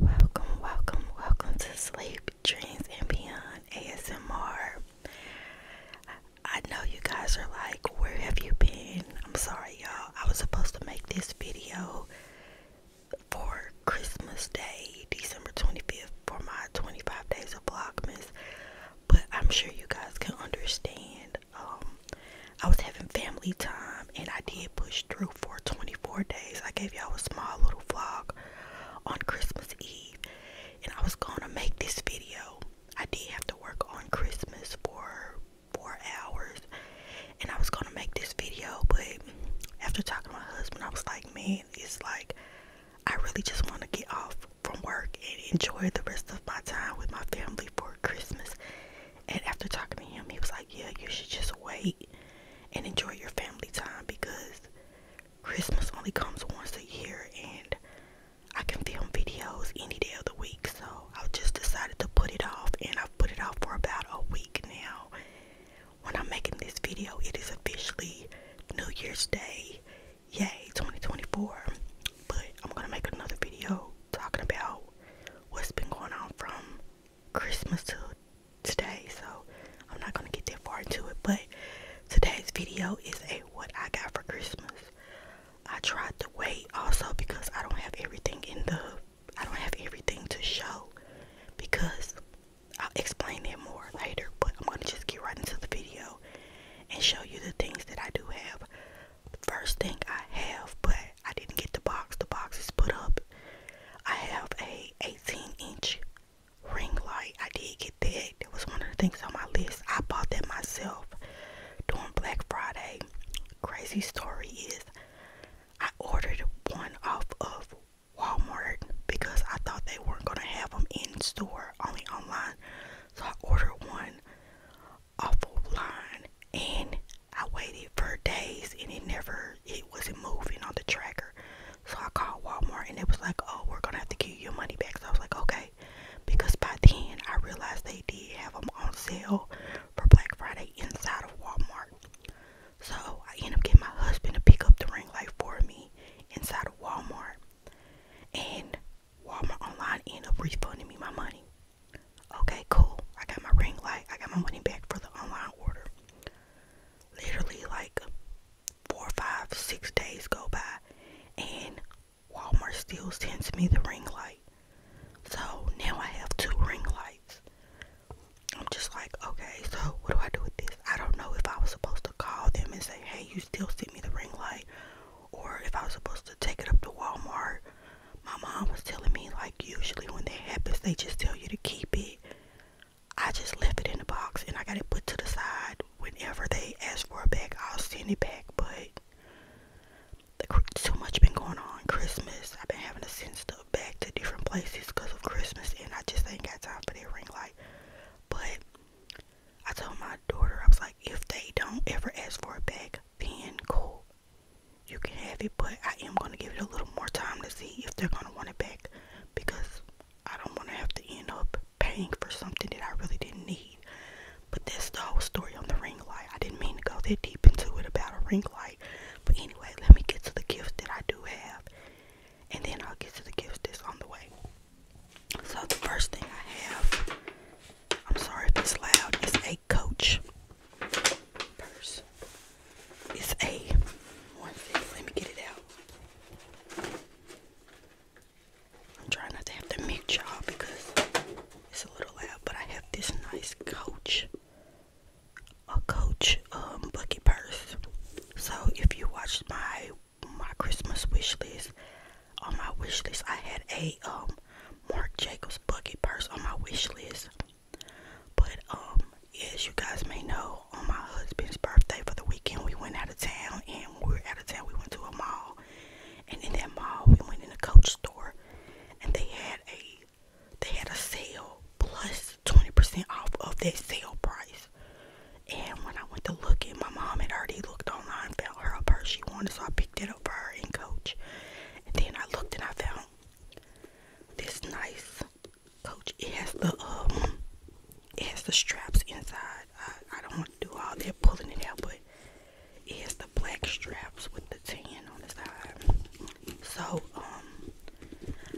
Welcome, welcome, welcome to Sleep Dreams and Beyond ASMR. I know you guys are like, where have you been? I'm sorry, y'all. I was supposed to make this video for Christmas Day, December 25th, for my 25 days of Vlogmas, but I'm sure you guys can understand. Um, I was having family time and I did push through for 24 days. I gave y'all a small little vlog on Christmas Eve, and I was gonna make this video. I did have to work on Christmas for four hours and I was gonna make this video but after talking to my husband I was like man it's like I really just want to get off from work and enjoy the rest of my time with my family for Christmas and after talking to him he was like yeah you should just wait and enjoy your family time because Christmas only comes once a year and I can film videos any day of the week, so i just decided to put it off, and I've put it off for about a week now. When I'm making this video, it is officially New Year's Day, yay 2024. But I'm gonna make another video talking about what's been going on from Christmas to today, so I'm not gonna get that far into it. But today's video is a what I got for Christmas. I tried to wait also because I don't have everything in the I don't have everything to show because I'll explain it more later, but I'm going to just get right into the video and show you the things that I do have. first thing I have, but I didn't get the box. The box is put up. I have a 18-inch ring light. I did get that. That was one of the things on my list. I bought that myself during Black Friday. Crazy story is I ordered one off of Walmart because I thought they weren't going to have them in store, only online. So I ordered one off online and I waited for days and it never, it wasn't moving on the tracker. So I called Walmart and it was like, oh, we're going to have to give you your money back. So I was like, okay because by then I realized they did have them on sale for Black Friday inside of Walmart. So I end up getting my husband to pick up the ring light for me inside of Walmart. And Walmart online end up refunding me my money. Okay, cool. I got my ring light. I got my money back for the online order. Literally like four, five, six days go by and Walmart steals sends me the ring light. So now I have two ring lights. I'm just like, okay, so what do I do with this? I don't know if I was supposed to call them and say, hey, you still sent me the ring light, or if I was supposed to take it up to Walmart. My mom was telling me, like, usually when that happens, they just tell you to keep it. I just left it in the box and I got it put to the side. Whenever they ask for a back, I'll send it back, but too much been going on Christmas. I've been having to send stuff back to different places because of Christmas, and I just ain't got time for that ring light. But I told my daughter, I was like, if they don't ever ask for it back, then cool, you can have it. But I am gonna give it a little more time to see if they're gonna want it back because I don't want to have to end up paying for something that I really didn't need. But that's the whole story on the ring light. I didn't mean to go that deep into it about a ring light. But anyway, let me get to the gifts that I do have. And then I'll get to the gifts that's on the way. So the first thing I have, I'm sorry if it's loud, is a coach purse. It's a one thing. Let me get it out. I'm trying not to have to mute y'all because it's a little loud, but I have this nice coach, a coach um bucket purse. So if you watched my my Christmas wish list, on my wish list I had a um Mark Jacobs bucket purse on my wish list. But um as you guys may know, on my husband's birthday for the weekend we went out of town and we were out of town, we went to a mall and in that mall we went in a coach store and they had a they had a sale plus 20% off of that sale price and when I went to look at my mom had already looked online found her a purse she wanted so I picked it up for her in coach and then I looked and I found this nice coach it has the um it has the straps inside. I, don't want to do all that pulling it out, but it has the black straps with the tan on the side. So, um,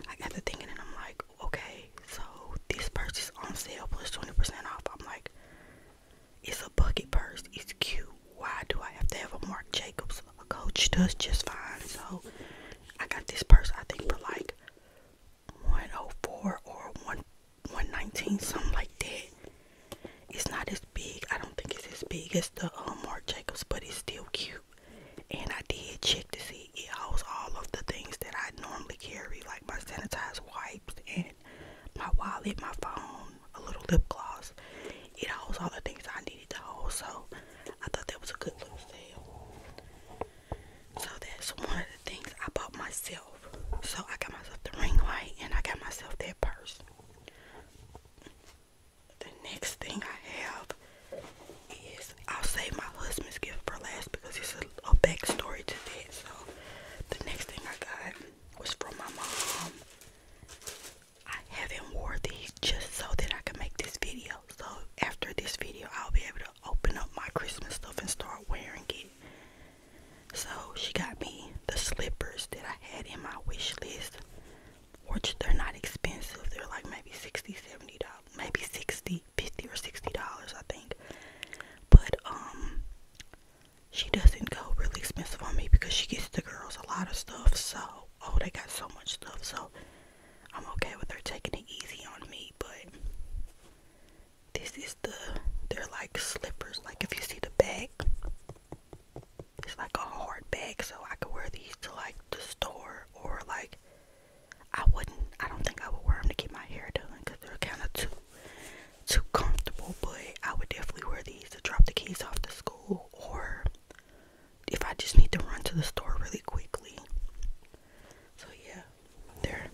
I got the thinking, and I'm like, okay, so this purse is on sale plus 20% off. I'm like, it's a bucket purse. It's cute. Why do I have to have a Marc Jacobs? A coach does just fine. So, I got this purse, I think, for like 104 or 1 119, something like that. It's not as big. I don't think it's as big as the um, Marc Jacobs, but it's still cute. And I did check to see it holds all of the things that I normally carry, like my sanitized wipes and my wallet, my phone, a little lip gloss. It holds all the things I needed to hold, so I thought that was a good little sale. So that's one of the things I bought myself. So I got myself the ring light and I got myself that purse. The next thing I have is I'll save my husband's gift for last because it's a, a backstory to that. So the next thing I got was from my mom. I haven't wore these just so that I can make this video. So after this video, I'll be able to open up my Christmas stuff and start wearing it. So she got me the slippers that I had in my wish list, which they're not expensive. They're like maybe 60 $70, maybe 60 50 or $60, I think. But um, she doesn't go really expensive on me because she gets the girls a lot of stuff. So, oh, they got so much stuff. So, I'm okay with her taking it easy on me, but this is the they're like slippers. Like if you see the bag, it's like a hard bag, so I could wear these to like the store or like I wouldn't. I don't think I would wear them to keep my hair done because they're kind of too too comfortable. But I would definitely wear these to drop the keys off to school or if I just need to run to the store really quickly. So yeah, they're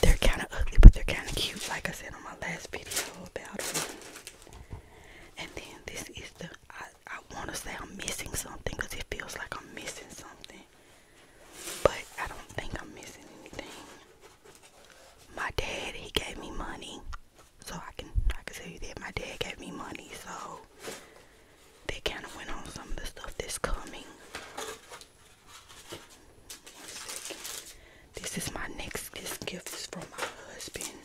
they're kind of ugly, but they're kind of cute, like I said on my last video about them. And then this is the, I, want to say I'm missing something because it feels like I'm missing something. But I don't think I'm missing anything. My dad, he gave me money. So I can, I can say that my dad gave me money. So they kind of went on some of the stuff that's coming. This is my next gift is from my husband.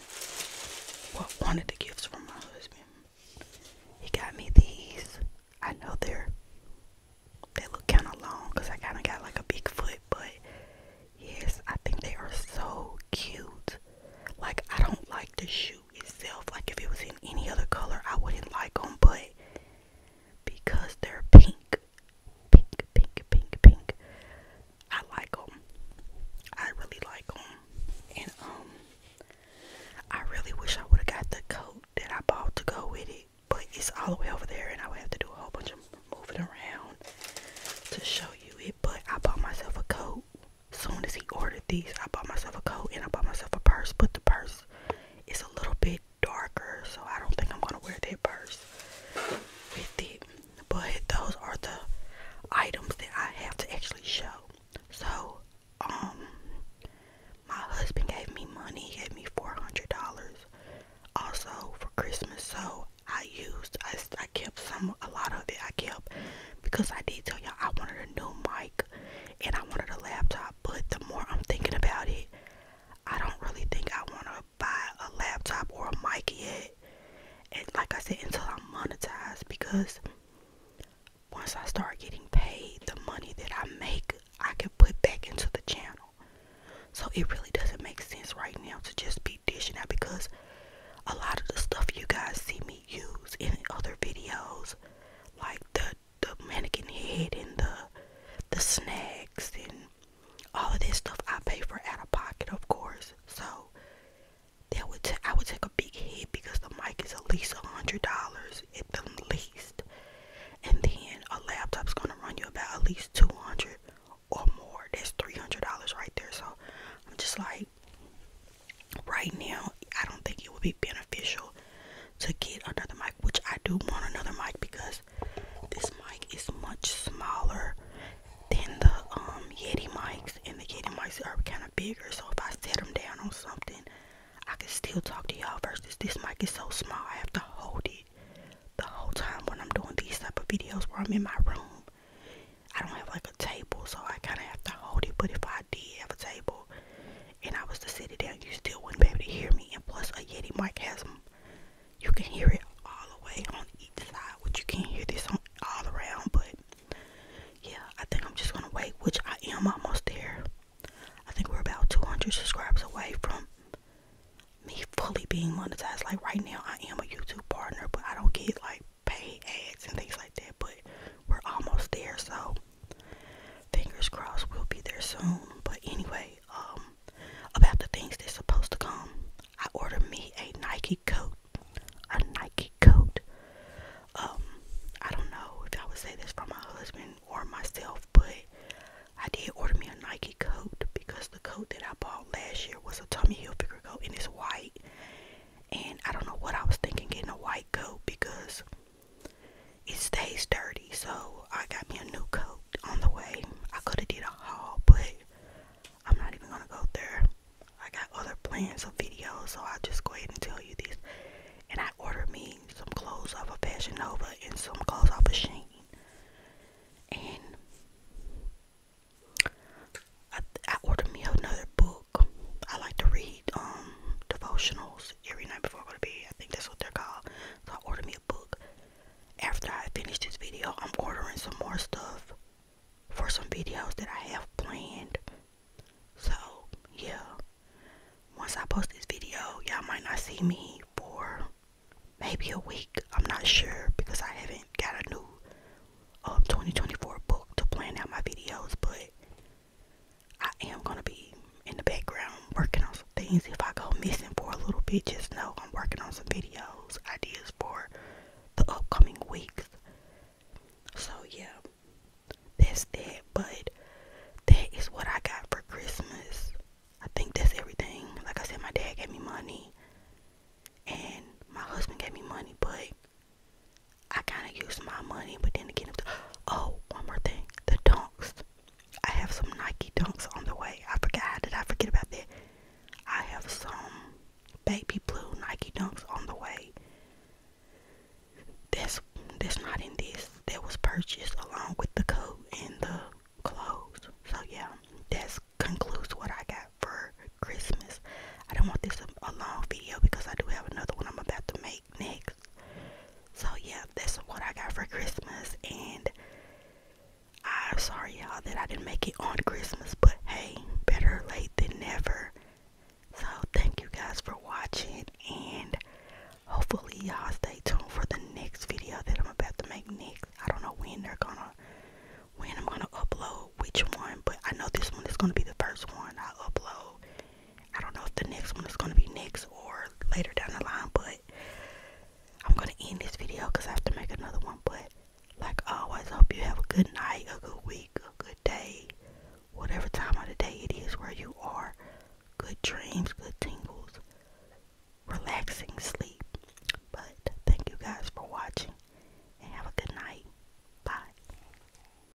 What one of the gifts from my husband. He got me these. I know they're they look kind of long because I kind of got like a big foot, but yes, I think they are so cute. Like I don't like the shoe itself. Like if it was in any other color, I wouldn't like them, but because they're pink. Pink, pink, pink, pink. I like them. I really like them. And, um, I really wish I would have got the coat that I bought to go with it, but it's all the way over there, and I would have to do a whole bunch of moving around to show you it. But I bought myself a coat. Soon as he ordered these, I bought myself a coat and I bought myself a purse, but the purse is a little bit darker, so I don't think I'm gonna wear that purse with it. But those are the items that I have to actually show. So, um, my husband gave me money, he gave me four hundred dollars also for Christmas, so I used I, I kept some a lot of it I kept because I did tell y'all I wanted a new mic and I wanted a laptop, but the more I'm thinking about it, I don't really think I want to buy a laptop or a mic yet. And like I said, until I'm monetized, because once I start getting paid, the money that I make, I can put back into the channel. So it really doesn't make sense right now to just be dishing out because a lot of the stuff you guys see me use in other videos, like the the mannequin head and the the snacks and all of this stuff I pay for out of pocket, of course. So that would t- I would take a big hit because the mic is at least a hundred dollars at the least, and then a laptop's gonna run you about at least two hundred or more. That's three hundred dollars right there. So I'm just like, right now, I don't think it would be beneficial to get another mic, which I do want another mic because this mic is much smaller than the um Yeti mics, and the Yeti mics are kind of bigger. So if I set them down on something, I can still talk to y'all. Versus this mic is so small, I have to hold it the whole time when I'm doing these type of videos where I'm in my room. I don't have like a table, so I kind of have to hold it. But if I did have a table, and I was to sit it down, you still wouldn't be able to hear me. And plus, a Yeti mic has them. you can hear it all the way on each side, which you can't hear this on all around. But yeah, I think I'm just gonna wait, which I am almost there. I think we're about 200 subscribers away from me fully being monetized. Like right now, I am a YouTube partner, but I don't get like pay ads and things like that. But we're almost there, so Fingers crossed we'll be there soon. But anyway, um, about the things that's supposed to come, I ordered me a Nike coat. A Nike coat. Um, I don't know if I would say this for my husband or myself, but I did order me a Nike coat because the coat that I bought last year was a Tommy Hilfiger coat and it's white. And I don't know what I was thinking getting a white coat because it stays dirty, so I got me a new coat on the way. I could have did a haul, but I'm not even gonna go there. I got other plans of videos, so I'll just go ahead and tell you this. And I ordered me some clothes off of Fashion Nova and some clothes off of Shein. And I, ordered me another book I like to read um, devotionals every night before bed. I think that's what they're called. So I ordered me a book. After I finish this video, I'm ordering some more stuff for some videos that I have planned. So yeah. Once I post this video, y'all might not see me for maybe a week. I'm not sure because I haven't got a new um, 2024 book to plan out my videos, but I am gonna be in the background working on some things. If I go missing for a little bit, just know I'm working on some videos, ideas for the upcoming weeks. So yeah, that's that. But that is what I got for Christmas. I think that's everything. Like I said, my dad gave me money and my husband gave me money, but I kind of used my money, but then again, oh, one more thing the dunks. I have some Nike dunks on the way. I forgot, how did I forget about that? I have some baby blue Nike dunks on the way. this that's not in this. That was purchased along with the coat and the clothes. So, yeah, that concludes what I got for Christmas. I don't want this a, a long video because I do have another one I'm about to make next. So yeah, this is what I got for Christmas and I'm sorry y'all that I didn't make it on Christmas, but hey, better late than never. So thank you guys for watching and hopefully y'all stay tuned for the next video that I'm about to make next. I don't know when they're gonna when I'm gonna upload which one, but I know this one is gonna be the first one I upload I don't know if the next one is going to be next or later down the line, but I'm going to end this video because I have to make another one. But like always, hope you have a good night, a good week, a good day, whatever time of the day it is where you are. Good dreams, good tingles, relaxing sleep. But thank you guys for watching and have a good night. Bye.